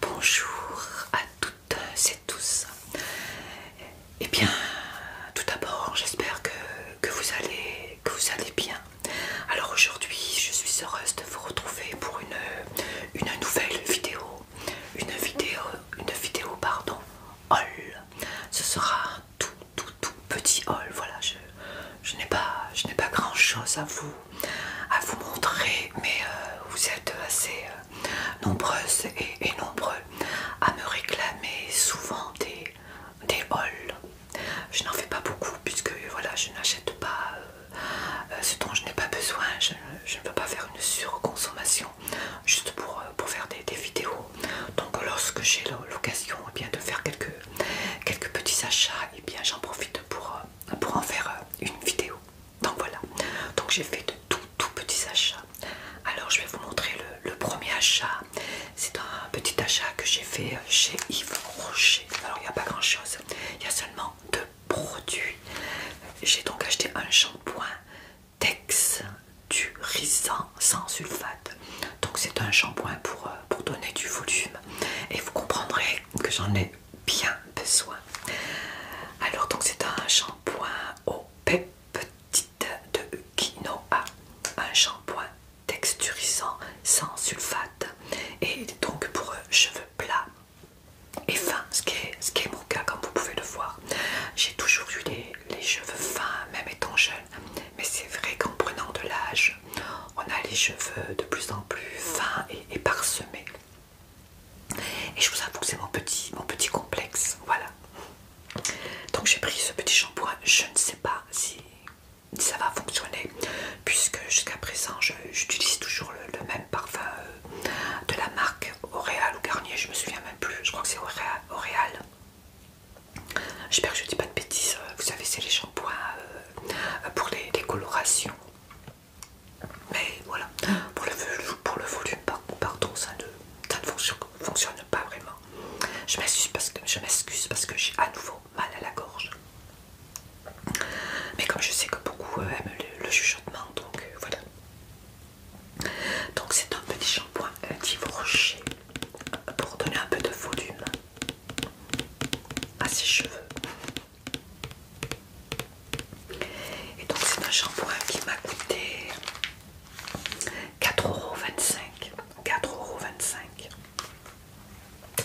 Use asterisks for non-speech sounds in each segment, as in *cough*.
Bonjour à toutes et tous. Eh bien, tout d'abord, j'espère que, vous allez, bien. Alors aujourd'hui, je suis heureuse de vous retrouver pour une, nouvelle vidéo. Une vidéo, une vidéo, pardon, haul. Ce sera tout, tout, tout petit haul. Voilà, je, je n'ai pas grand-chose à vous, à vous montrer, mais euh, vous êtes assez euh, nombreuses et, nombreux à me réclamer souvent des, des hauls. Je n'en fais pas beaucoup puisque voilà, je n'achète pas euh, ce dont je n'ai pas besoin. Je, ne veux pas faire une surconsommation juste pour, faire des, vidéos. Donc lorsque j'ai l'occasion eh de faire quelques, petits achats, et eh bien j'en profite pour en faire une vidéo. Donc voilà, donc j'ai fait de tout, tout petits achats. Alors je vais vous montrer le, premier achat. C'est un petit achat que j'ai fait euh, chez Yves Rocher. Alors il n'y a pas grand chose, il y a seulement deux produits. J'ai donc acheté un shampoing Tex du sans sulfate. Donc c'est un shampoing pour, euh, pour donner du volume. Et vous comprendrez que j'en ai bien besoin. Alors donc c'est un shampoing au Petite de quinoa, un shampoing texturisant sans sulfate et donc pour cheveux plats et fins, ce qui est, mon cas comme vous pouvez le voir. J'ai toujours eu les, cheveux fins, même étant jeune, mais c'est vrai qu'en prenant de l'âge, on a les cheveux de plus en plus fins et parsemés. Et je vous avoue que c'est mon petit, complexe. Voilà. Donc j'ai pris ce petit shampoing. Je ne sais pas si, ça va fonctionner. Puisque jusqu'à présent, j'utilise toujours le, même parfum euh, de la marque Oréal ou Garnier. Je me souviens même plus. Je crois que c'est Oréal. J'espère que je ne dis pas de bêtises. Euh, vous savez, c'est les shampoings euh, pour les colorations. Mais voilà, pour le, volume, pardon, ça ne, fonctionne, pas vraiment. Je m'excuse parce que, j'ai à nouveau mal à la gorge. Mais comme je sais que beaucoup euh, aiment le, chuchotement, donc euh, voilà. Donc c'est un petit shampoing divorché pour donner un peu de volume à ses cheveux. Et donc c'est un shampoing qui m'a coûté 4,25€. 4,25€.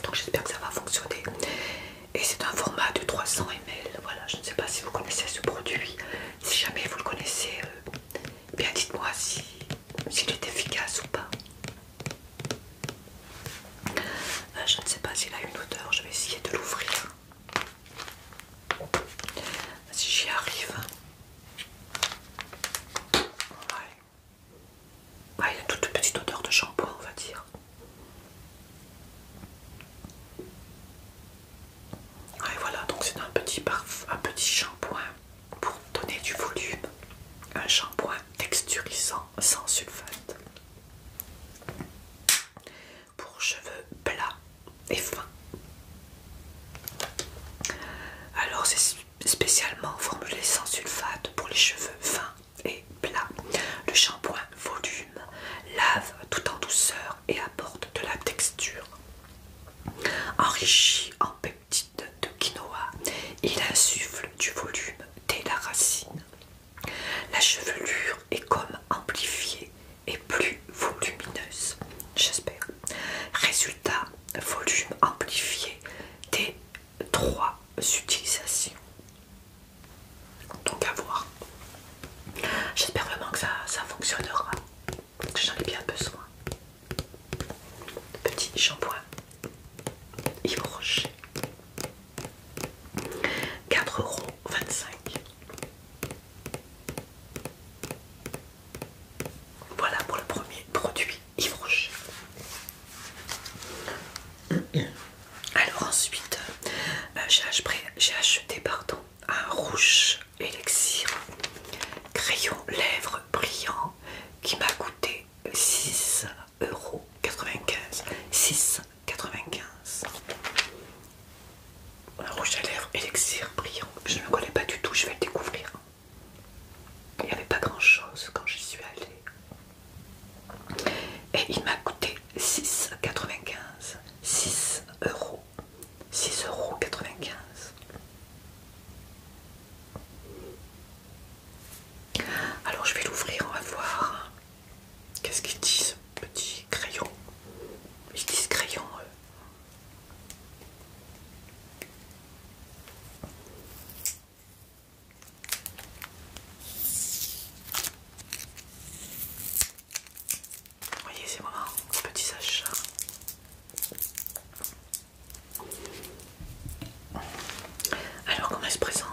Donc j'espère que ça va fonctionner. Et c'est un format de 300 ml. Voilà, je ne sais pas si vous connaissez ce produit. Si jamais vous le connaissez, euh, bien dites-moi s'il est efficace ou pas. Euh, je ne sais pas s'il a une odeur, je vais essayer de l'ouvrir. Si j'y arrive. Il y a toute petite odeur de shampoing, on va dire. Et voilà, donc c'est un petit parfum, un petit shampoing pour donner du volume. Un shampoing texturisant sans sulfate pour cheveux plats et fins. Alors c'est spécialement formulé sans sulfate pour les cheveux fins et plats. Le shampoing volume lave tout en douceur et apporte de la texture. Enrichi en peptides de quinoa, il insuffle du volume dès la racine. La chevelure est comme amplifiée et plus volumineuse, j'espère. Résultat, volume amplifié des trois utilisations. Donc à voir. J'espère vraiment que ça, ça fonctionnera. J'en ai bien besoin. Petit shampoing. Hybrogé. 4,25€ euros. Voilà pour le premier produit Yves Alors ensuite, euh, j'ai acheté, pardon, un rouge Elixir. crayon lèvres brillant qui m'a coûté 6,95€ euros. 6 95. Un rouge à lèvres, élixir brillant. Je ne connais pas du tout, je vais le découvrir. Il n'y avait pas grand chose quand j'y suis allée. Et il m'a coûté 6,95. 6 euros. 6,95 euros. Alors je vais l'ouvrir, on va voir. Qu'est-ce qu'ils disent, ce petit crayon Ils disent crayon. Voyez, c'est vraiment un petit sachet. Alors, comment elle se présente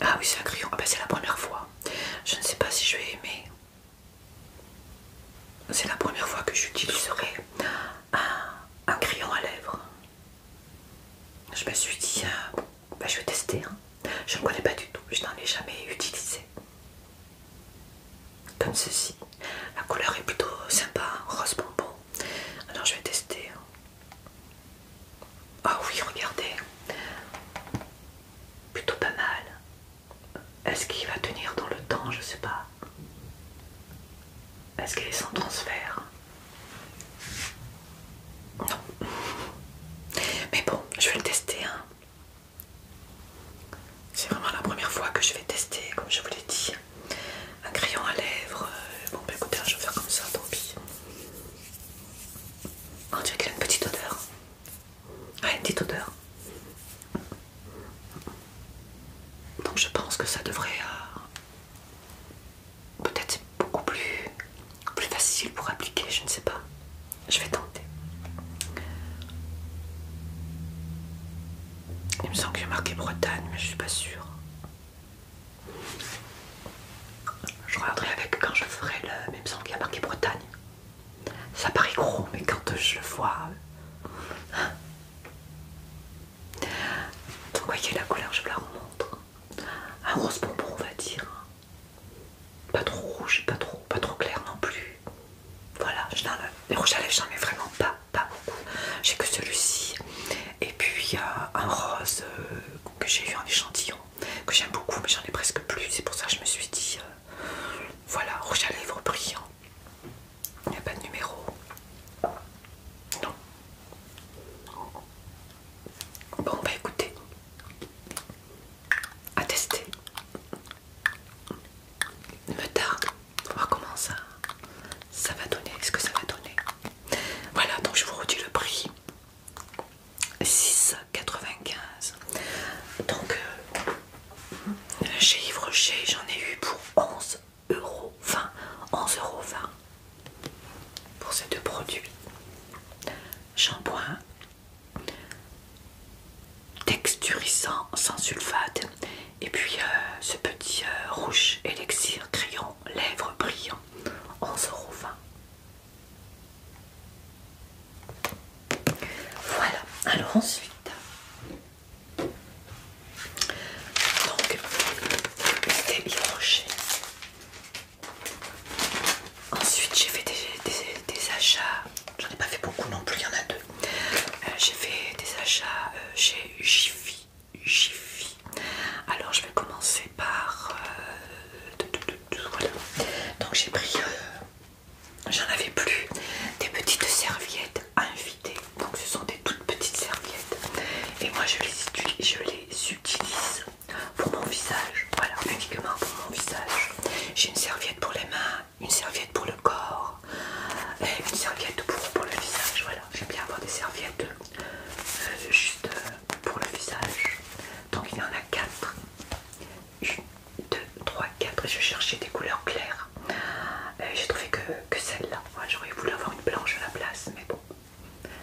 ah oui, c'est un crayon. Ah ben, c'est la première fois. Je ne sais pas si je vais aimer. C'est la première fois que j'utiliserai un, crayon à lèvres. Je me suis dit, euh, ben, je vais tester. Hein. Je ne connais pas du tout. Je n'en ai jamais utilisé. Comme ceci. La couleur est plutôt sympa, hein, rose bonbon. Alors je vais tester. Hein. Ah oui, regardez plutôt pas mal. Est-ce qu'il va tenir dans le temps Je sais pas. Est-ce qu'il est sans transfert Non. Mais bon, je vais le tester. Hein. C'est vraiment la première fois que je vais tester, comme je vous l'ai dit. Un crayon à lèvres. Euh, bon, bah écoutez, hein, je vais faire comme ça, tant pis dirait qu'il y a une petite odeur. une petite odeur. Donc je pense que ça devrait euh, peut-être beaucoup plus, plus facile pour appliquer, je ne sais pas. Je vais tenter. Il me semble que a marqué Bretagne, mais je suis pas sûre. Je regarderai avec quand je ferai le. même sang qui a marqué Bretagne. Ça paraît gros, mais quand je le vois. Hein. Vous voyez la couleur, je vous la remontre. Un rose bonbon, on va dire. Pas trop rouge, pas trop, pas trop clair non plus. Voilà, je les rouges à lèvres, j'en ai vraiment pas, beaucoup. J'ai que celui-ci. Et puis, il y a un rose euh, que j'ai eu en échantillon que j'aime beaucoup, mais j'en ai presque plus. C'est pour ça que je me suis dit euh, voilà, rouge à lèvres brillant. Il n'y a pas de numéro. Non. Bon, bah écoutez, à tester. Me tarde. voir comment ça, ça va donner. Est-ce que ça va donner Voilà, donc je vous redis le prix 6 95. Donc euh, chez j'en ai eu pour 11 euros. 20, 11 euros 20 pour ces deux produits. Shampoing texturisant sans sulfate et puis euh, ce petit euh, rouge élixir crayon lèvres brillant 11,20€ voilà, alors ensuite, donc, c'était Ensuite, j'ai fait des, achats, j'en ai pas fait beaucoup non plus, il y en a deux. Euh, j'ai fait des achats euh, chez Jiffy. Jiffy. Alors, je vais commencer par euh, donc j'ai pris, euh, j'en avais plus, des petites serviettes à inviter. Donc ce sont des toutes petites serviettes. Et moi je les, je les utilise pour mon visage. Voilà, uniquement pour mon visage. J'ai une serviette pour les mains, une serviette pour le corps, et une serviette pour, le visage. Voilà, j'aime bien avoir des serviettes euh, juste euh, pour le visage. Donc il y en a quatre. 1, 2, 3, 4 et je cherchais des couleurs claires. Euh, j'ai trouvé que, celle-là. J'aurais voulu avoir une blanche à la place, mais bon,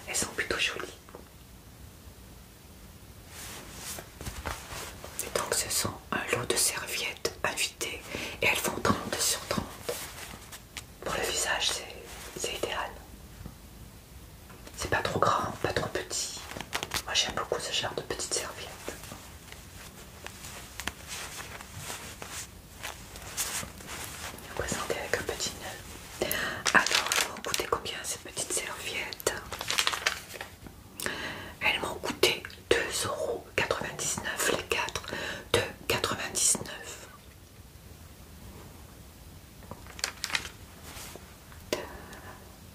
elles sont plutôt jolies. Et donc ce sont un lot de serviettes invitées et elles font 30 sur 30. Pour le visage, c'est idéal. C'est pas trop grand, pas trop petit. Moi j'aime beaucoup ce genre de petites serviettes. présenter avec un petit nœud. Alors, elles m'ont coûté combien ces petites serviettes Elles m'ont coûté 2,99€ les 4. 2,99€.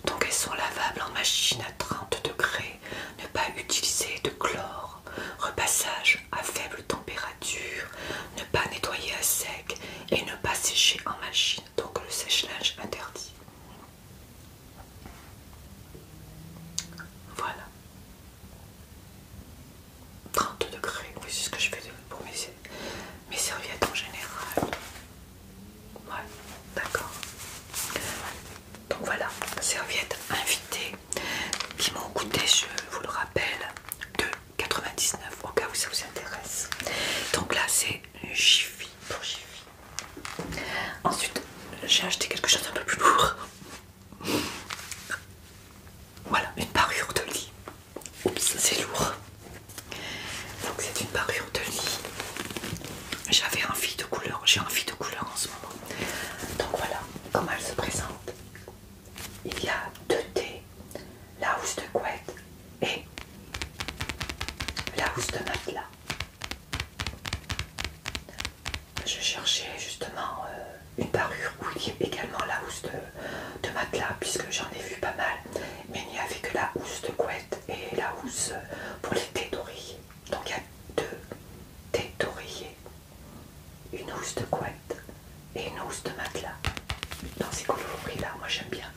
Donc elles sont lavables en machine à 30 degrés, ne pas utiliser de chlore, repassage à faible température, ne pas nettoyer à sec et ne pas sécher en machine. Donc le sèche-linge interdit. Voilà. 30 degrés, oui c'est ce que je fais pour mes mes serviettes en général. Ouais, d'accord. Donc voilà, serviettes invitées qui m'ont coûté, je vous le rappelle, 2,99 au cas où ça vous intéresse. Donc là, c'est Jiffy pour Jiffy. Ensuite, j'ai acheté quelque chose d'un peu plus lourd. Voilà, une parure de lit. Oups, c'est lourd. Donc c'est une parure de lit. J'avais envie de couleur, j'ai envie de couleur en ce moment. Donc voilà comment elle se présente. Il y a deux T, la housse de couette et la housse de matelas. Je cherchais justement euh, une parure où il y avait également la housse de matelas puisque j'en ai vu pas mal, mais il n'y avait que la housse de couette et la housse pour les thés Donc il y a deux thés une housse de couette et une housse de matelas. Dans ces coloris là, moi j'aime bien.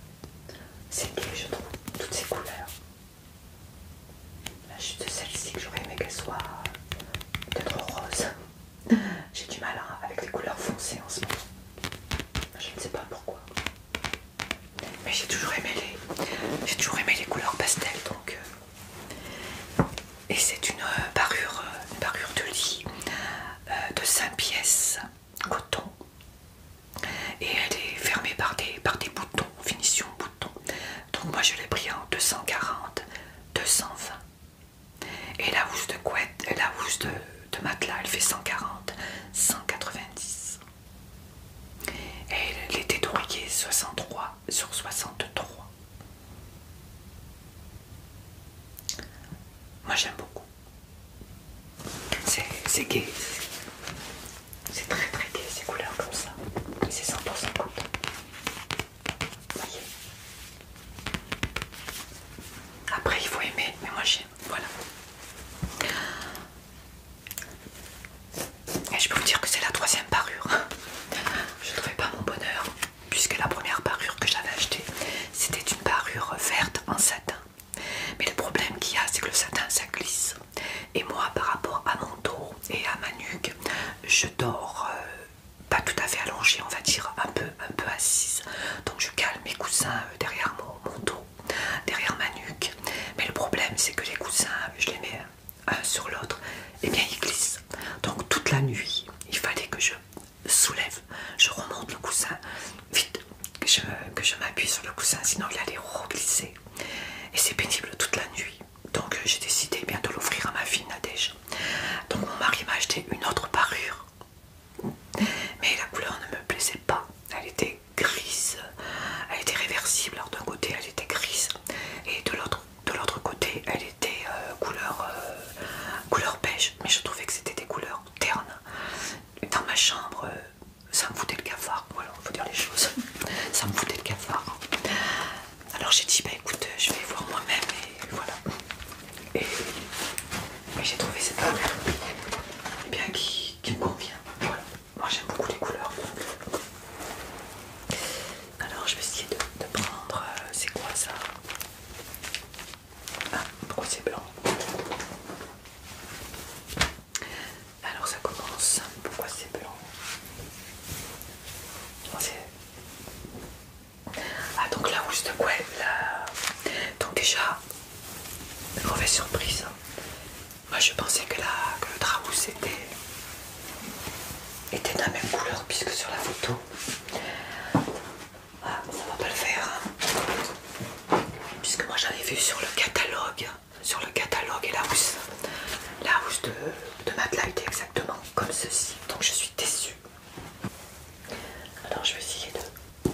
C'est que je trouve, toutes ces couleurs. juste celle-ci que j'aurais aimé qu'elle soit peut-être rose. J'ai du mal hein, avec les couleurs foncées en ce moment. Je ne sais pas pourquoi mais j'ai toujours aimé les j'ai toujours aimé les couleurs pastel donc euh, et c'est euh, euh, une parure de lit de 5 pièces coton et elle est fermée par des, boutons finition bouton. donc moi je l'ai pris en 240 220 et la housse de couette la housse de matelas elle fait 140 190 et les était 63 sur 63. Moi j'aime beaucoup. C'est gay. C'est très très gai ces couleurs comme ça. C'est 100% Vous Voyez. Après il faut aimer, mais moi j'aime. Voilà. Et je peux vous dire que c'est la troisième parure. Je ne trouvais pas mon bonheur, puisque la première parure que j'avais achetée, c'était une parure verte en satin. Mais le problème qu'il y a, c'est que le satin, ça glisse. Et moi, par rapport à mon dos et à ma nuque, je dors euh, pas tout à fait allongée, on va dire, un peu, un peu assise. Donc je cale mes coussins euh, derrière mon dos derrière ma nuque. Mais le problème, c'est que les coussins, je les mets un euh, sur l'autre, et eh bien ils glissent. Donc toute la nuit, il fallait que je soulève, je remonte le coussin, vite, que je, m'appuie sur le coussin, sinon il allait re-glisser Et c'est pénible toute la nuit. Donc j'ai décidé eh bien de l'offrir à ma fille Nadège. Donc mon mari m'a acheté une autre parure. Mais la couleur ne me plaisait pas. Elle était grise, elle était réversible. Alors d'un côté elle était grise et de l'autre côté elle était euh, couleur, euh, couleur beige. Mais je trouvais que c'était des couleurs ternes. Dans ma chambre, euh, ça me foutait le cafard. Voilà, faut dire les choses. *laughs* ça me foutait le cafard. Alors j'ai dit bah écoute, je vais voir moi-même et voilà. Et, j'ai trouvé cette couleur bien qui me convient. Voilà. Moi j'aime beaucoup les couleurs. Alors je vais essayer de, prendre. Euh, c'est quoi ça ah, pourquoi c'est blanc Alors ça commence. Pourquoi c'est blanc Ah donc là où je te quoi Donc déjà, mauvaise surprise. Hein. Moi je pensais que, le drap était, était de la même couleur puisque sur la photo. Ah, ça va pas le faire. Hein. Puisque moi j'avais vu sur le catalogue, sur le catalogue et la housse. La housse de, de était exactement comme ceci. Donc je suis déçue. Alors je vais essayer de,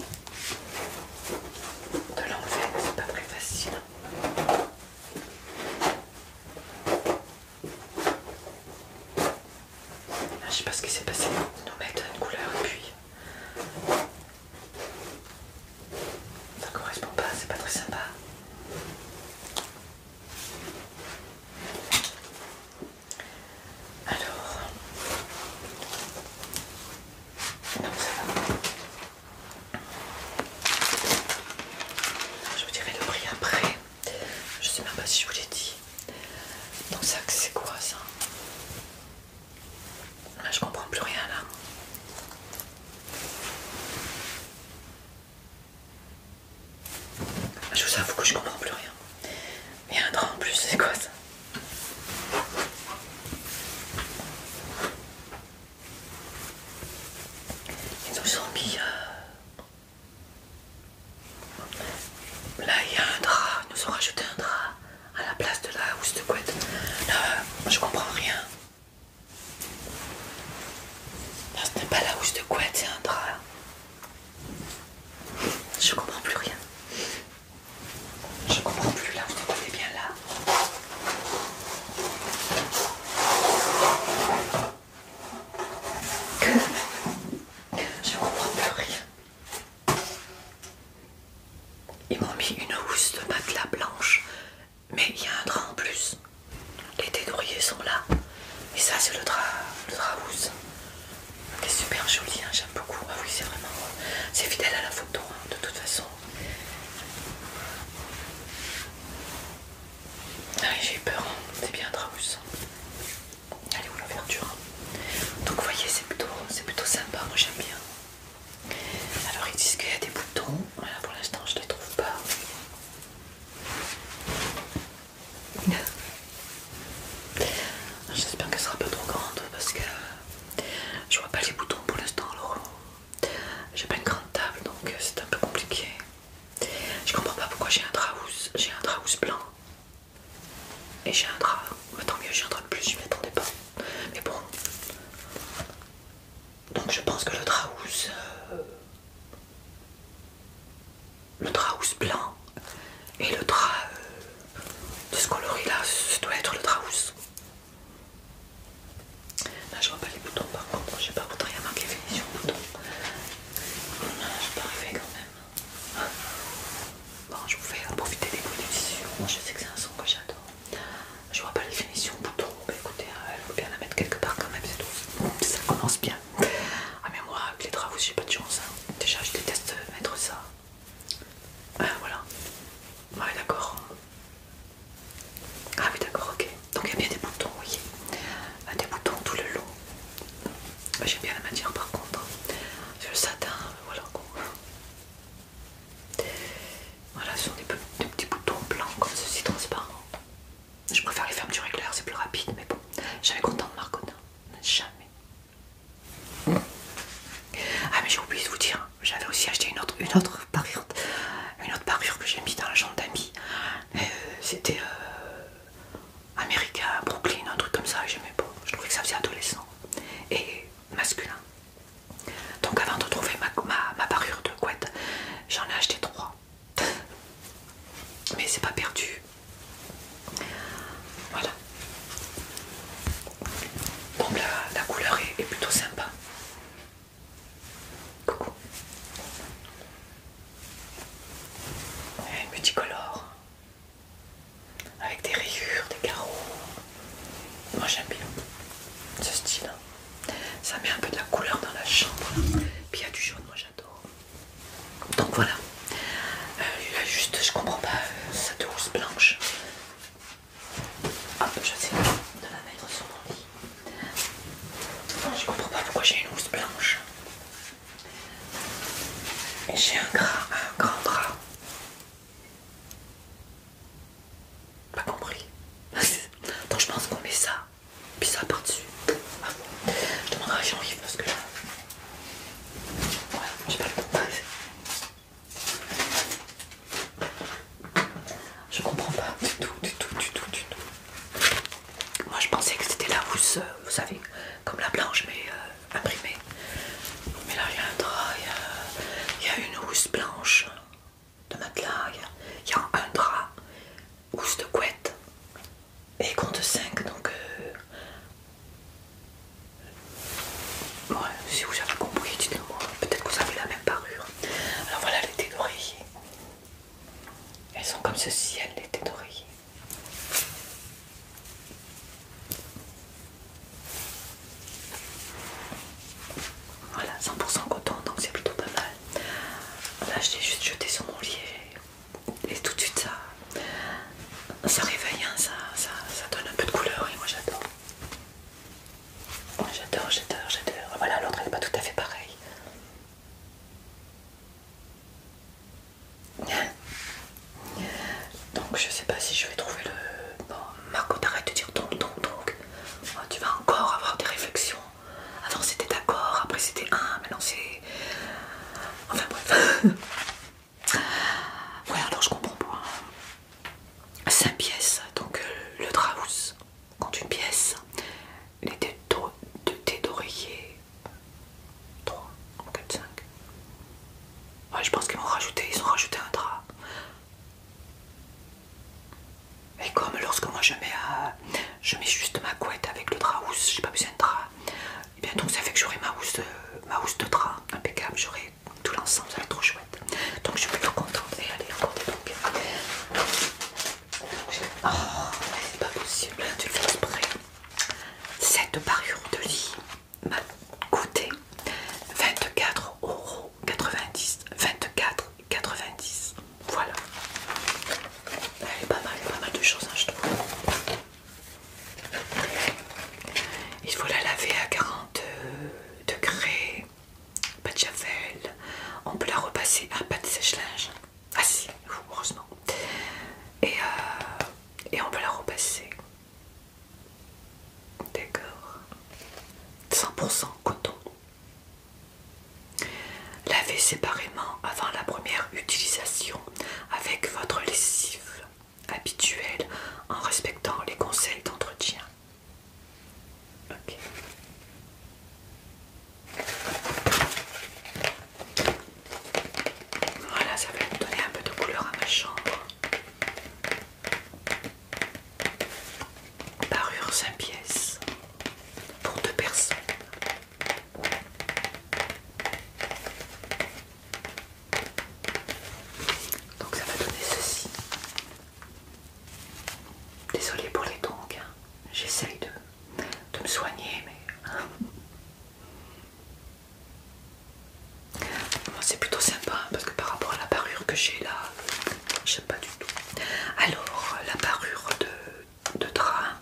de l'enlever, c'est pas très facile. Ah, je sais pas ce qui s'est passé. nous mettent une couleur et puis euh, ça correspond pas, c'est pas très sympa. Alors, non, ça va. Je vous dirai le prix après. Je sais même pas si je vous l'ai dit. Donc ça c'est quoi ça Là, Je comprends plus rien là. Je vous avoue que je comprends plus rien. Mais un drap en plus, c'est quoi ça ils nous ont mis. Euh, là, il y a un drap. Ils nous ont rajouté un drap à la place de la housse de couette. je comprends rien. ce n'est pas la housse de couette, c'est un drap. Je comprends plus rien. Je comprends plus là, vous est bien là. Je comprends plus rien. Ils m'ont mis une housse de matelas blanche, mais il y a un drap en plus. Les dédrouillés sont là. Et ça, c'est le drap, le drap housse. C'est super joli, hein, j'aime beaucoup. Ah c'est vraiment. C'est fidèle à la photo, hein, de toute façon. Ah j'ai J'ai peur, hein. c'est bien Draus. Allez où l'ouverture hein. Donc vous voyez c'est plutôt, plutôt sympa, moi j'aime bien. Alors ils disent qu'il y a des boutons, voilà pour l'instant je ne les trouve pas. *laughs* J'espère qu'elle sera pas trop grande parce que je vois pas les boutons pour l'instant alors j'ai pas une grande table donc euh, c'est un peu compliqué. Je comprends pas pourquoi j'ai un draus, j'ai un draus blanc et j'ai un drap. Bah, tant mieux, j'ai un drap de plus, je m'y attendais pas. Mais bon. Donc je pense que le drap euh, le draus blanc et le drap euh, de ce coloris là, ça doit être le draus. Là je vois pas les boutons par contre, je sais pas pourquoi il y a marqué finition bouton. je peux pas quand même. Bon je vous fais profiter des bonnes Moi, je sais que c'est un son que j'adore. Je vois pas les finitions boutons. écoutez, il euh, bien la mettre quelque part quand même, c'est tout. Ça commence bien. Ah mais moi avec les travaux j'ai pas de chance. Hein. Déjà je déteste mettre ça. Ah, voilà. Ouais d'accord. Ah oui d'accord, ok. Donc il y a bien des boutons, voyez, euh, Des boutons tout le long. Euh, j'aime bien la matière par contre. C'est hein. le satin, euh, voilà quoi. Voilà, ce sont des, petits boutons blancs comme ceci, transparents. Je préfère les du régler c'est plus rapide, mais bon. J'avais content de Marconin. Jamais. Ah mais j'ai oublié de vous dire, j'avais aussi acheté une autre, une autre parure, une autre parure que j'ai mis dans la chambre d'amis. Euh, c'était euh, américain, Brooklyn, un truc comme ça. J'aimais pas. Je trouvais que ça faisait adolescent et masculin. Donc avant de trouver ma, ma, parure de couette, j'en ai acheté trois. Mais c'est pas perdu. Voilà. Donc la, couleur est plutôt sympa. Coucou. Eh, multicolore. Avec des rayures, des carreaux. Moi j'aime bien ce style. Hein. Ça met un peu de la couleur dans la chambre. Puis il y a du jaune, moi j'adore. Donc voilà. Euh, juste, je comprends pas euh, cette housse blanche. Ah, je sais de la mettre sur mon lit. je comprends pas pourquoi j'ai une housse blanche. Et j'ai un, un grand bras. Pas compris. *laughs* Donc je pense qu'on met ça, puis ça par-dessus. Ah je demanderai à Jean-Yves parce que là. j'ai pas le temps. Je comprends pas du tout, du tout, du tout, du tout. Moi je pensais que c'était la housse, euh, vous savez, comme la blanche mais euh, imprimée. Mais là il y a un drap, il y, a une housse blanche de matelas, il y, a un drap, housse de couette et compte 5 donc euh, ouais, si vous avez compris dites-moi peut-être que vous avez la même parure alors voilà les têtes d'oreiller. Elles sont comme ce ciel, les têtes d'oreiller. Voilà, 100% coton, donc c'est plutôt pas mal. Là, je l'ai juste jeté sur mon lit et, tout de suite ça, ça réveille, hein, ça, ça donne un peu de couleur et moi j'adore j'adore, j'adore, j'adore. Voilà, l'autre elle n'est pas tout à fait pareil. *laughs* Donc je sais pas si je vais trouver le... Bon, Marco, t'arrêtes de dire donc, donc, oh, donc. tu vas encore avoir des réflexions. Avant c'était d'accord, après c'était un, maintenant c'est... Enfin bref. *laughs* Ouais, alors, je comprends pas. 5 pièces, donc euh, le Draus. Quand une pièce. Les deux têtes d'oreiller. 3, 4, 5. je pense qu'ils m'ont rajouté, ils ont rajouté un drap. Et comme lorsque moi je mets, euh, je mets juste ma couette avec le drap housse, j'ai pas besoin de drap. Et eh bien donc ça fait que j'aurai ma housse, euh, ma housse de drap, impeccable, j'aurai tout l'ensemble, ça va être trop donc je suis plutôt contente. Et allez, des donc. Oh, c'est pas possible, tu le fais exprès. Cette parure de lit m'a coûté 24,90€. 24,90€. Voilà. Elle est pas mal, pas mal de choses, hein, je trouve. Il faut la laver à 40 degrés pas de javel. On peut la repasser à ah, pas de sèche-linge. Ah si, heureusement. Et, euh, et on peut la repasser. D'accord. 100% coton. Lavez séparément avant la première utilisation avec votre lessive habituelle en respectant les conseils d'entretien. Voilà, ça va me donner un peu de couleur à ma chambre. Parure 5 pièces pour deux personnes. Donc ça va donner ceci. Désolée pour les tongs, hein. j'essaye de, me soigner, mais *laughs* c'est plutôt sympa hein, parce que par rapport à la parure que j'ai là, je n'aime pas du tout. Alors, la parure de, de drap,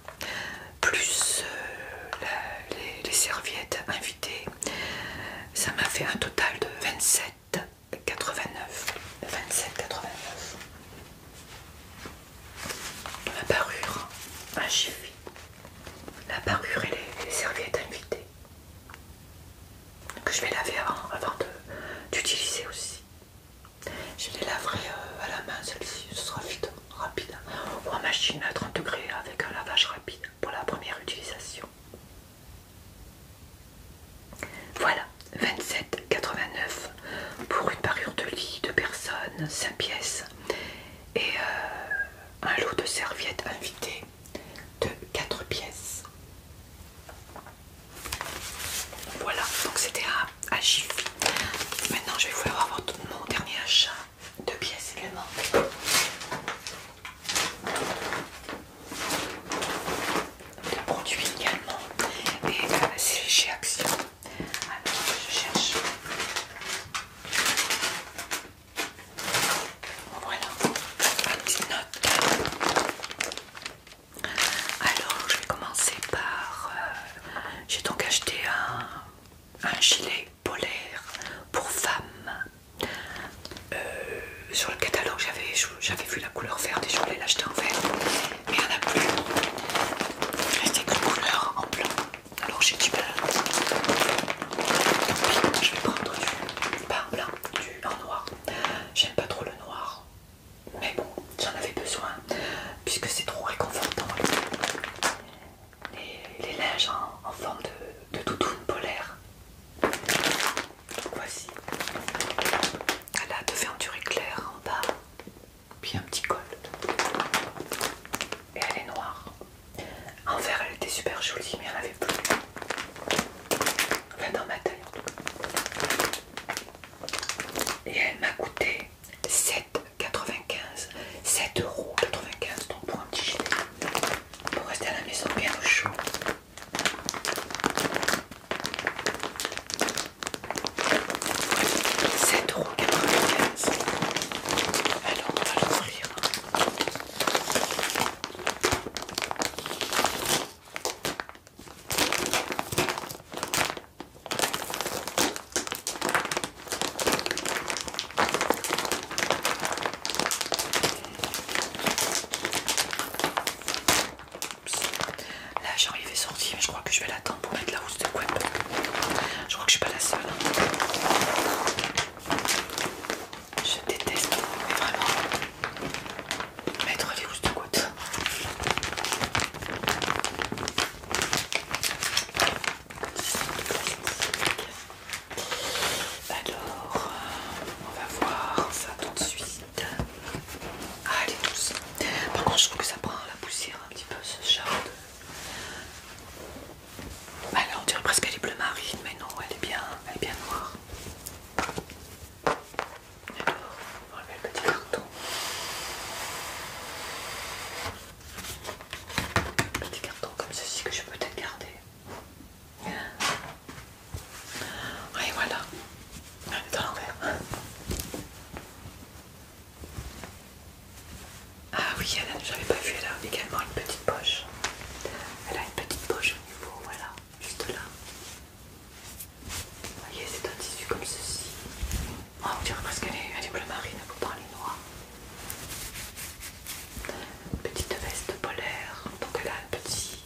plus euh, les, les serviettes invitées, ça m'a fait un total de 27 89, 27, 89. La parure, un chiffre. La parure et les, serviettes invitées. Que je vais laver avant, avant d'utiliser aussi. Je les laverai euh, à la main, celle-ci, ce sera vite, rapide. Ou en machine à 30 degrés avec un lavage rapide pour la première utilisation. Voilà, 27,89 pour une parure de lit, de personnes, 5 pièces et euh, un lot de serviettes invitées de 4 pièces. Voilà, donc c'était à, Maintenant, je vais vouloir avoir mon dernier achat de pièces également de produits également. Et euh, c'est chez Action. Alors, je cherche. Voilà, petite note. Alors, je vais commencer par. Euh, j'ai donc acheté un, gilet polaire pour femmes. Euh, sur le catalogue, j'avais j'avais vu la couleur verte et je voulais l'acheter en vert, mais il n'y en a plus. Il restait qu'une couleur en blanc, alors j'ai du mal. Tant je vais prendre du pas en blanc, du en noir. J'aime pas trop le noir, mais bon, j'en avais besoin puisque c'est trop réconfortant. Et les linges en, forme de, de doudoune polaire. Voici. Elle a de feintures éclair en bas, puis un petit col. Et elle est noire. En vert, elle était super jolie, mais elle avait plus. Enfin, dans ma taille en tout cas. Et elle m'a coûté 7,95 7,95 pour un petit gilet pour rester à la maison bien au chaud Sept euros. Alors on va l'ouvrir. Là, j'arrive et mais je crois que je vais l'attendre pour mettre la housse de couette. Je crois que je suis pas la seule. Je déteste vraiment mettre les housses de couette. Alors, on va voir ça tout de suite. Ah, elle est douce. Par contre, je trouve que ça prend la poussière un petit peu ce genre de. Bah, on dirait presque qu'elle est bleu marine, mais non, elle est bien, elle est bien noire. Alors, on va le petit carton. Un petit carton comme ceci que je vais peut-être garder. Et voilà. Elle est l'envers. Ah oui, elle a, j'avais pas vu, elle a également une petite poche. Elle a une petite poche au niveau, voilà, juste là. Vous voyez, c'est un tissu comme ceci. Oh, on dirait presque qu'elle est, elle est bleu marine, pour elle est noire. Petite veste polaire, donc elle a un petit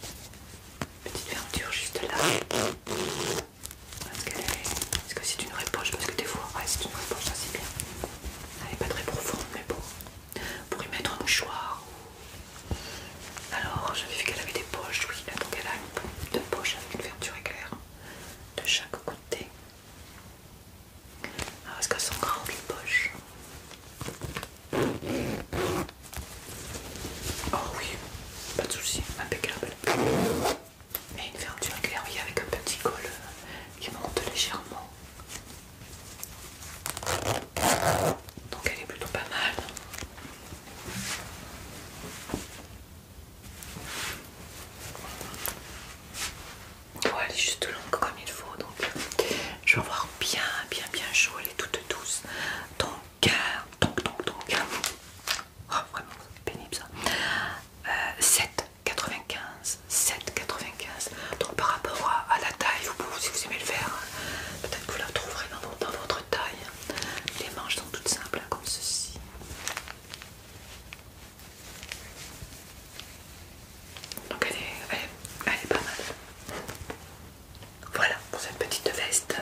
petite fermeture juste là. Est-ce que c'est une vraie poche Parce que des fois, c'est une vraie poche, ça c'est bien. Elle n'est pas très profonde, mais bon. Pour y mettre un mouchoir. Alors, j'avais vu qu'elle avait des poches, oui. Donc elle a une, deux poches avec une fermeture éclair de chaque côté. Alors, est-ce qu'elles sont grandes une poche Oh oui, pas de soucis, impeccable et une fermeture éclairée avec un petit col euh, qui monte légèrement. Donc elle est plutôt pas mal. Voilà, elle est juste longue comme il faut, donc je vais voir bien, bien, bien chaud. Elle est toute douce. Donc, euh, donc, donc, donc, oh, vraiment pénible ça. 7,95, euh, 7,95. Donc par rapport à, la taille, si vous aimez le faire, hein, peut-être que vous la trouverez dans, votre taille. Les manches sont toutes simples, hein, comme ceci. Donc elle est, elle est pas mal. Voilà pour cette petite veste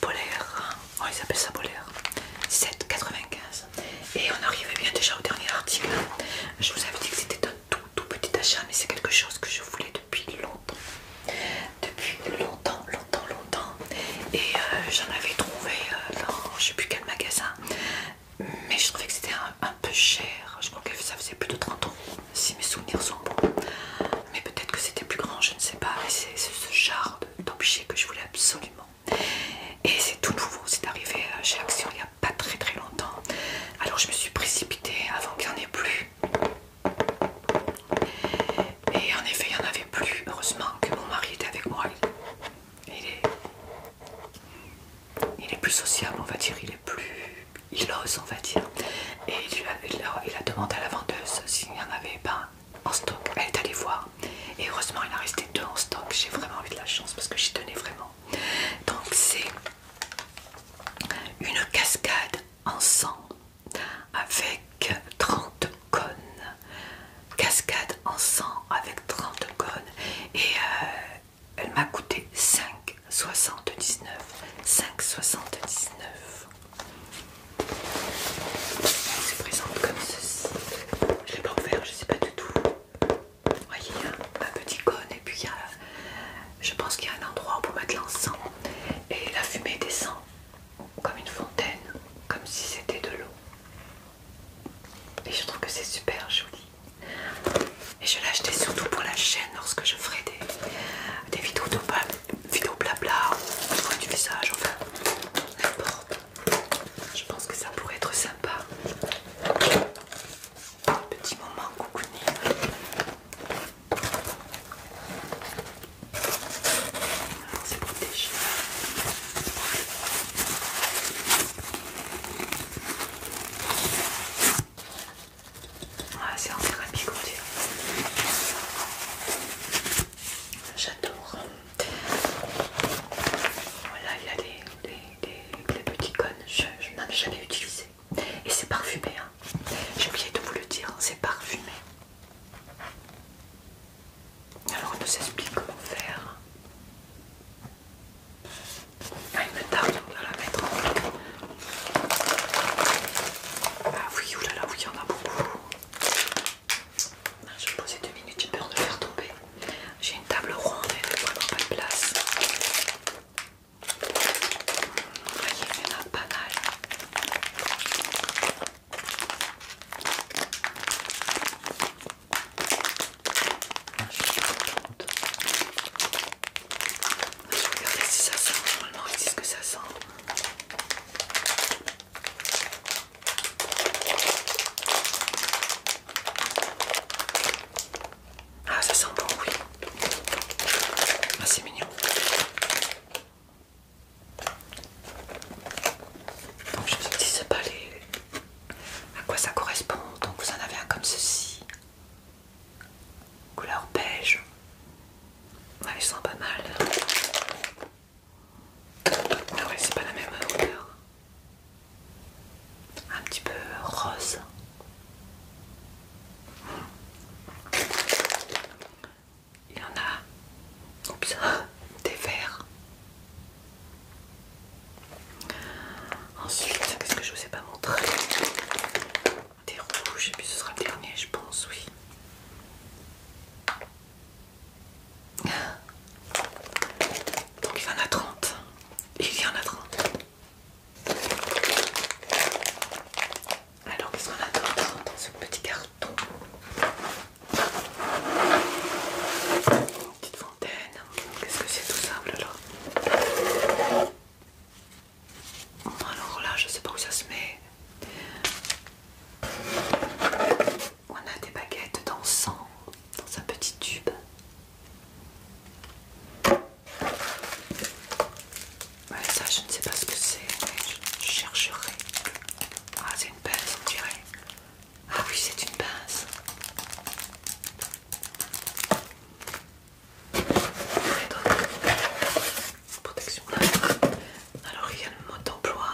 polaire oh, ils appellent ça polaire, 7,95€ Et on arrivait bien déjà au dernier article. Hein. Je vous avais dit que c'était un tout tout petit achat, mais c'est quelque chose que je voulais depuis longtemps. Depuis longtemps, longtemps, longtemps. Et euh, j'en avais trouvé euh, dans je sais plus quel magasin. Mais je trouvais que c'était un, peu cher. Je crois que ça faisait plus de 30 ans si mes souvenirs sont bons. Mais peut-être que c'était plus grand, je ne sais pas. Mais c'est ce genre d'objets que je voulais absolument. Et c'est tout nouveau, c'est arrivé euh, chez Action il n'y a pas très très longtemps. Alors je me suis précipitée avant qu'il n'y en ait plus. Et en effet, il n'y en avait plus. Heureusement que mon mari était avec moi. Il est, il est plus sociable, on va dire. Il est plus... Il ose, on va dire. Et il a demandé à la vendeuse s'il n'y en avait pas en stock. Elle est allée voir et heureusement il en restait deux en stock. J'ai vraiment eu de la chance parce que j'y tenais vraiment. Donc c'est une cascade en sang avec 30 cônes. Cascade en sang avec 30 cônes et euh, elle m'a coûté 5,79. 5,79. C'est présent comme ceci. Je l'ai pas ouvert, je ne sais pas du tout. Vous voyez, il y a un petit cône et puis il y a, je pense qu'il y a un endroit pour mettre l'encens. Et la fumée descend comme une fontaine, comme si c'était de l'eau. Et je trouve que c'est super joli. Et je l'ai acheté surtout pour la chaîne lorsque je ferai des, vidéos de vidéo blabla du visage, enfin n'importe. Je pense que ça pourrait être sympa. petit moment cocooning. C'est protégé. Ah, c'est en thérapie, comme J'adore. Voilà, il a des petits cônes, je, n'en ai jamais utilisé. Et c'est parfumé, hein. j'ai oublié de vous le dire, hein, c'est parfumé. Alors on nous explique comment faire. Ah, il me tarde, on la mettre Ah oui, oulala, oui, il y en a beaucoup. Je vais poser deux minutes, j'ai peur de faire tomber. J'ai une table ronde et elle vraiment pas de place. Vous voyez, il y en a pas mal. Je suis contente. vais regarder si ça sent. Normalement, si ce que ça sent. Ah, ça sent bon, oui. Ah, c'est mignon. Donc, je vous sais pas les... à quoi ça correspond. Donc, vous en avez un comme ceci. Couleur beige. Ouais, ils sont pas mal. Ah ouais, c'est pas la même odeur. Un petit peu rose. Il y en a. Oups, *laughs* des verts. Ensuite, qu'est-ce que je vous ai pas montré Des rouges, et puis ce sera le dernier, je pense, oui. Donc il y en a 30. Il y en a 30. Alors qu'est-ce qu'on a dans ce petit carton Une petite fontaine. Qu'est-ce que c'est tout simple là alors là, je sais pas où ça se met on a des baguettes d'encens dans un petit tube. Ouais, ça, je ne sais pas ce que c'est, mais je chercherai. Ah, c'est une pince, on dirait. Ah oui, c'est une pince. protection Alors, il y a le mot d'emploi.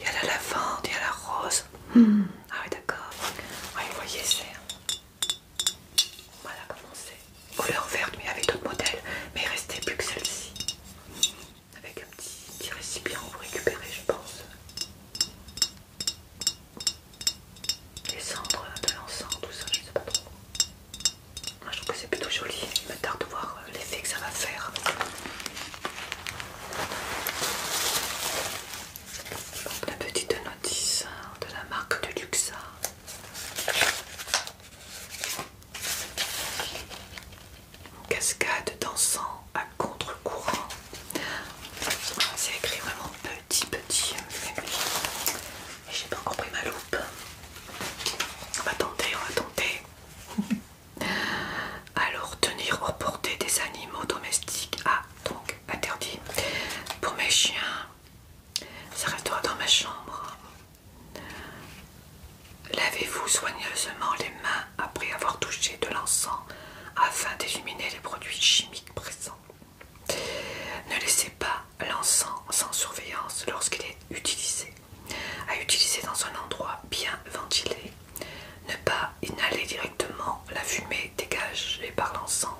Il y a la lavande, il y a la rose. Ah oui d'accord. vous voyez c'est... Voilà comment c'est. Couleur verte, mais avec d'autres modèles. Mais il restait plus que celle-ci. Avec un petit, récipient pour récupérer, je pense. Les cendres de l'encens, tout ça, je ne sais pas trop. Moi je trouve que c'est plutôt joli. Il me tarde de voir euh, l'effet que ça va faire. la petite notice hein, de la marque de Luxa. Hein. Cascade dansant à contre-courant. C'est écrit vraiment petit, petit. Euh, j'ai pas encore pris ma loupe. On va tenter, on va tenter. *laughs* Alors, tenir hors portée des animaux domestiques. Ah, donc interdit. Pour mes chiens, ça restera dans ma chambre. Lavez-vous soigneusement les mains après avoir touché de l'encens afin d'éliminer les produits chimiques présents. Ne laissez pas l'encens sans surveillance lorsqu'il est utilisé, à utiliser dans un endroit bien ventilé, ne pas inhaler directement la fumée dégagée par l'encens,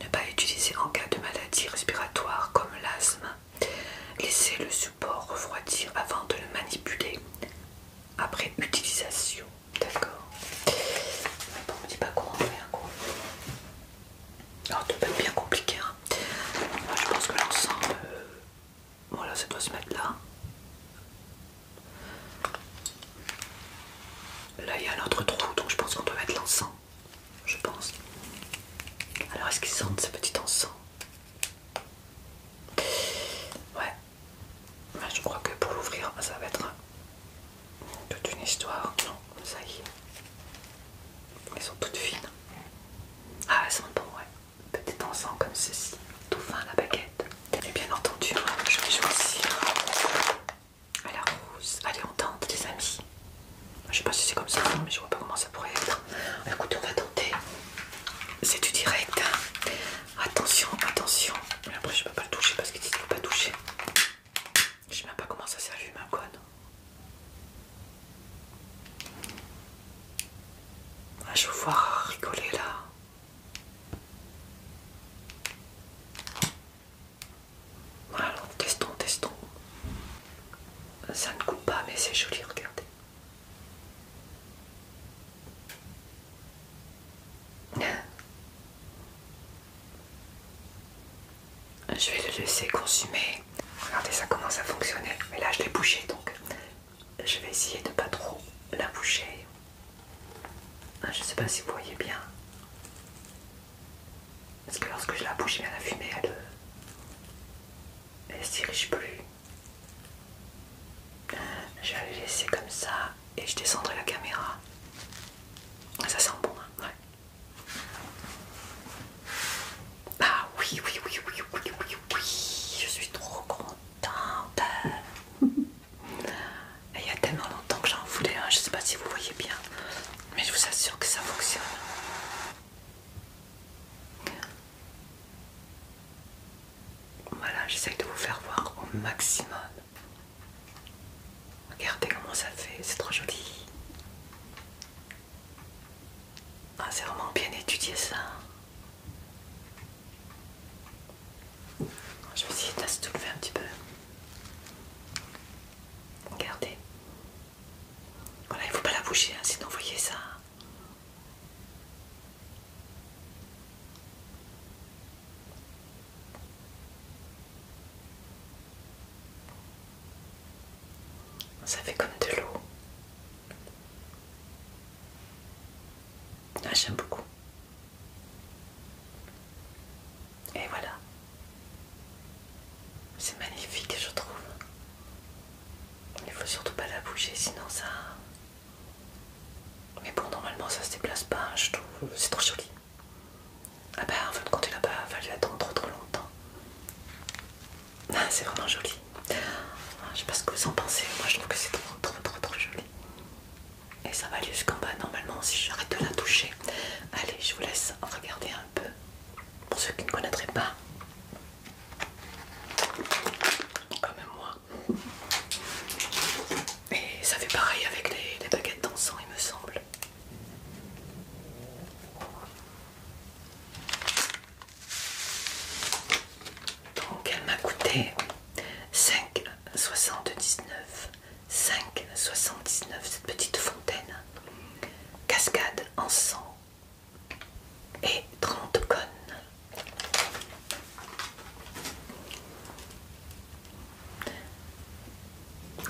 ne pas utiliser en cas de maladie respiratoire comme l'asthme, laisser le support refroidir avant de le manipuler après utilisation. D'accord. Bon, pas alors, ah, tout peut être bien compliqué. Hein. je pense que l'ensemble, euh, voilà, ça doit se mettre là. Là, il y a un autre trou, donc je pense qu'on doit mettre l'encens. Je pense. Alors, est-ce qu'ils sentent ce petit encens Ouais. je crois que pour l'ouvrir, ça va être toute une histoire. Non, ça y est. Elles sont toutes fines. Ah, elles sont bon, ouais. Peut-être en encens comme ceci, tout fin la baguette. Et bien entendu, hein, je vais choisir hein. à la rose. Allez, on tente, les amis. Je sais pas si c'est comme ça, mais je vois pas comment ça pourrait être. Écoutez, on va tenter. C'est du direct. Hein. Attention, attention. Mais après, je peux pas le toucher parce qu'il ne faut pas toucher. Je sais même pas comment ça s'allume ma quoi non ah, je vous voir rigoler là. Alors, testons, testons. Ça ne coupe pas, mais c'est joli, regardez. Je vais le laisser consumer. Regardez ça commence à fonctionner. Mais là je l'ai bouché donc je vais essayer de ne pas trop la boucher. Ah, je ne sais pas si vous voyez bien. Parce que lorsque je la bouche, eh la fumée, elle euh, elle se dirige plus. Ah, je vais la laisser comme ça et je descendrai la caméra. Ah, ça sent bon, hein ah oui, oui, oui, oui, oui, oui, oui, je suis trop contente. *laughs* Il y a tellement longtemps que j'en voulais un, je sais pas si vous voyez bien, mais je vous assure que ça fonctionne. Voilà, j'essaie de vous faire voir au maximum. Regardez comment ça fait, c'est trop joli. Ah, c'est vraiment bien étudié ça. Je vais essayer de un petit peu. Regardez. Voilà, il ne faut pas la bouger, hein, sinon vous voyez ça. Ça fait comme de l'eau. Ah, j'aime beaucoup. Et voilà. C'est magnifique, je trouve. Il faut surtout pas la bouger, sinon ça. Mais bon, normalement ça se déplace pas, hein, je trouve. C'est trop joli. Ah bah en fin de compte, il a pas fallu attendre trop, trop longtemps. Ah, c'est vraiment joli. Ah, je sais pas ce que vous en pensez, moi je trouve que c'est trop, trop, trop, trop joli. Et ça va aller jusqu'en bas normalement si j'arrête de la toucher. Allez, je vous laisse regarder un peu pour ceux qui ne connaîtraient pas. Comme moi. Et ça fait pareil avec les, les baguettes dansant, il me semble. Donc elle m'a coûté 5,79. 5,79 cette petite fontaine. Cascade en sang et 30 connes.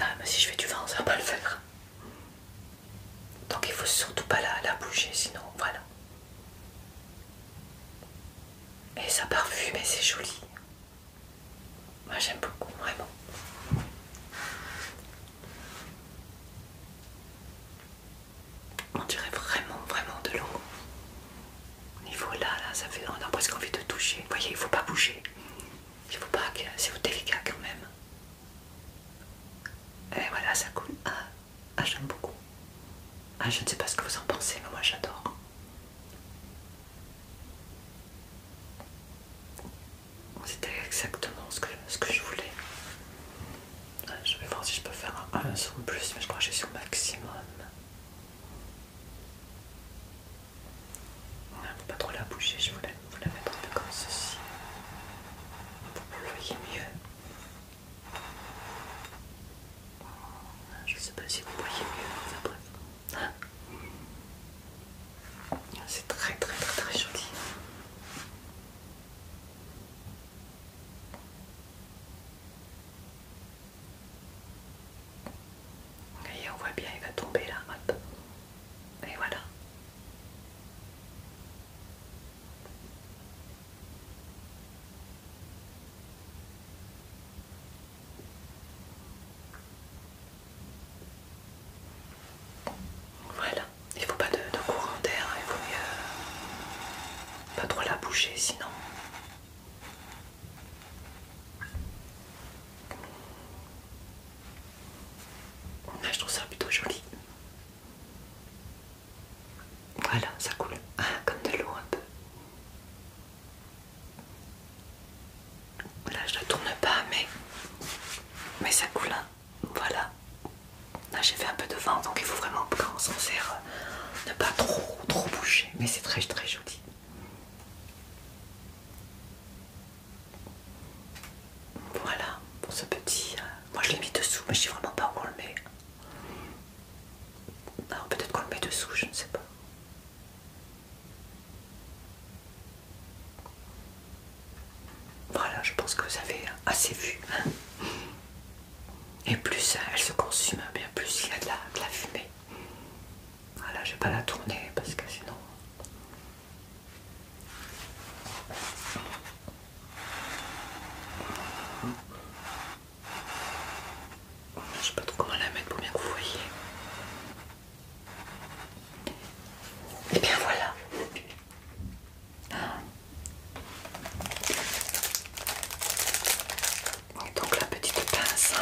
Ah, mais si je fais du vent, ça va pas le faire. Donc il faut surtout pas la, la bouger, sinon voilà. Et ça parfume et c'est joli. Moi j'aime beaucoup, vraiment. On dirait vraiment, vraiment de l'eau. Au niveau là, là, ça fait. On a presque envie de toucher. Vous voyez, il faut pas bouger. Il faut pas. C'est délicat quand même. Et voilà, ça coule. Ah, ah, j'aime beaucoup. Ah, je ne sais pas ce que vous en pensez, mais moi j'adore. C'était exactement ce que, ce que je voulais. Ah, je vais voir si je peux faire un, son plus, mais je crois que suis au maximum. Il ne faut pas trop la bouger, je vous vous la mettre un peu comme ceci vous le voyez mieux. Je ne sais pas si vous voyez mieux, enfin hein bref. C'est très très très très joli. Et on voit bien, il va tomber là, Et voilà. Voilà, il faut pas de, courant d'air, il faut euh, pas trop la bouger sinon. Là, ah, je trouve ça plutôt joli. Voilà, ça coule ah, comme de l'eau un peu. Voilà, je ne tourne pas mais, mais ça coule. Hein. Voilà. Là j'ai fait un peu de vent donc il faut vraiment quand s'en sert euh, ne pas trop trop bouger. Mais c'est très très joli. Voilà pour ce petit. Euh, moi je l'ai mis dessous, mais je sais vraiment pas où on le met. Alors peut-être qu'on le met dessous, je ne sais pas. Voilà, je pense que vous avez assez vu. Hein. Et plus euh, elle se consume, bien plus il y a de la, de la fumée. Voilà, je vais pas la tourner parce que sinon je ne sais pas trop comment la mettre pour bien que vous voyez. Et eh bien voilà. Donc la petite pince.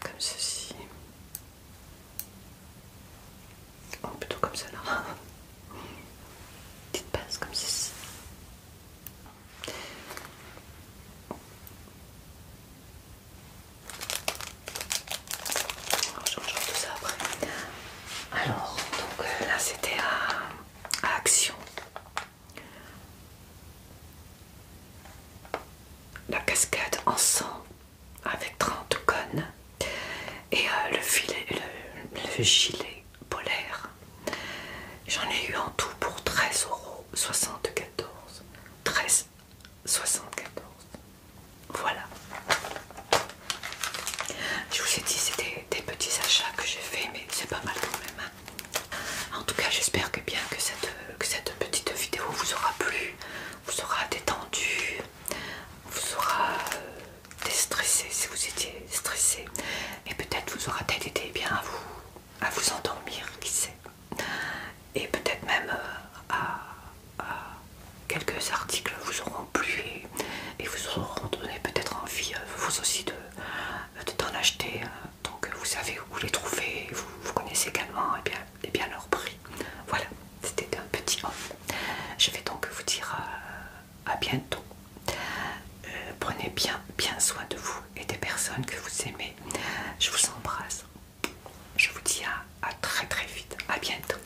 Comme ceci. Ou oh, plutôt comme cela. *laughs* Petite passe comme ceci. On change tout ça après. Alors, donc euh, là c'était à Action. La cascade en sang avec 30 cônes et euh, le, filet, le, gilet polaire. J'en ai eu en tout pour 13,74€. 13,74, Voilà. Je vous ai dit, c'était des petits achats que j'ai fait, mais c'est pas mal quand même. Hein. En tout cas, j'espère que bien que cette, cette petite vidéo vous aura plu, vous aura détendu, vous aura euh, déstressé si vous étiez stressé, et peut-être vous aura être aidé bien à vous, à vous endormir, qui sait, et peut-être même euh, à, quelques articles vous auront plu et, vous auront donné peut-être envie euh, vous aussi de euh, de t'en acheter. Euh, donc euh, vous savez où les trouver, vous, connaissez également et eh bien, et eh bien leur prix. Voilà, c'était un petit off. Je vais donc vous dire à, bientôt. prenez bien, bien soin de vous et des personnes que vous aimez. Je vous embrasse. Je vous dis à, très très vite. À bientôt.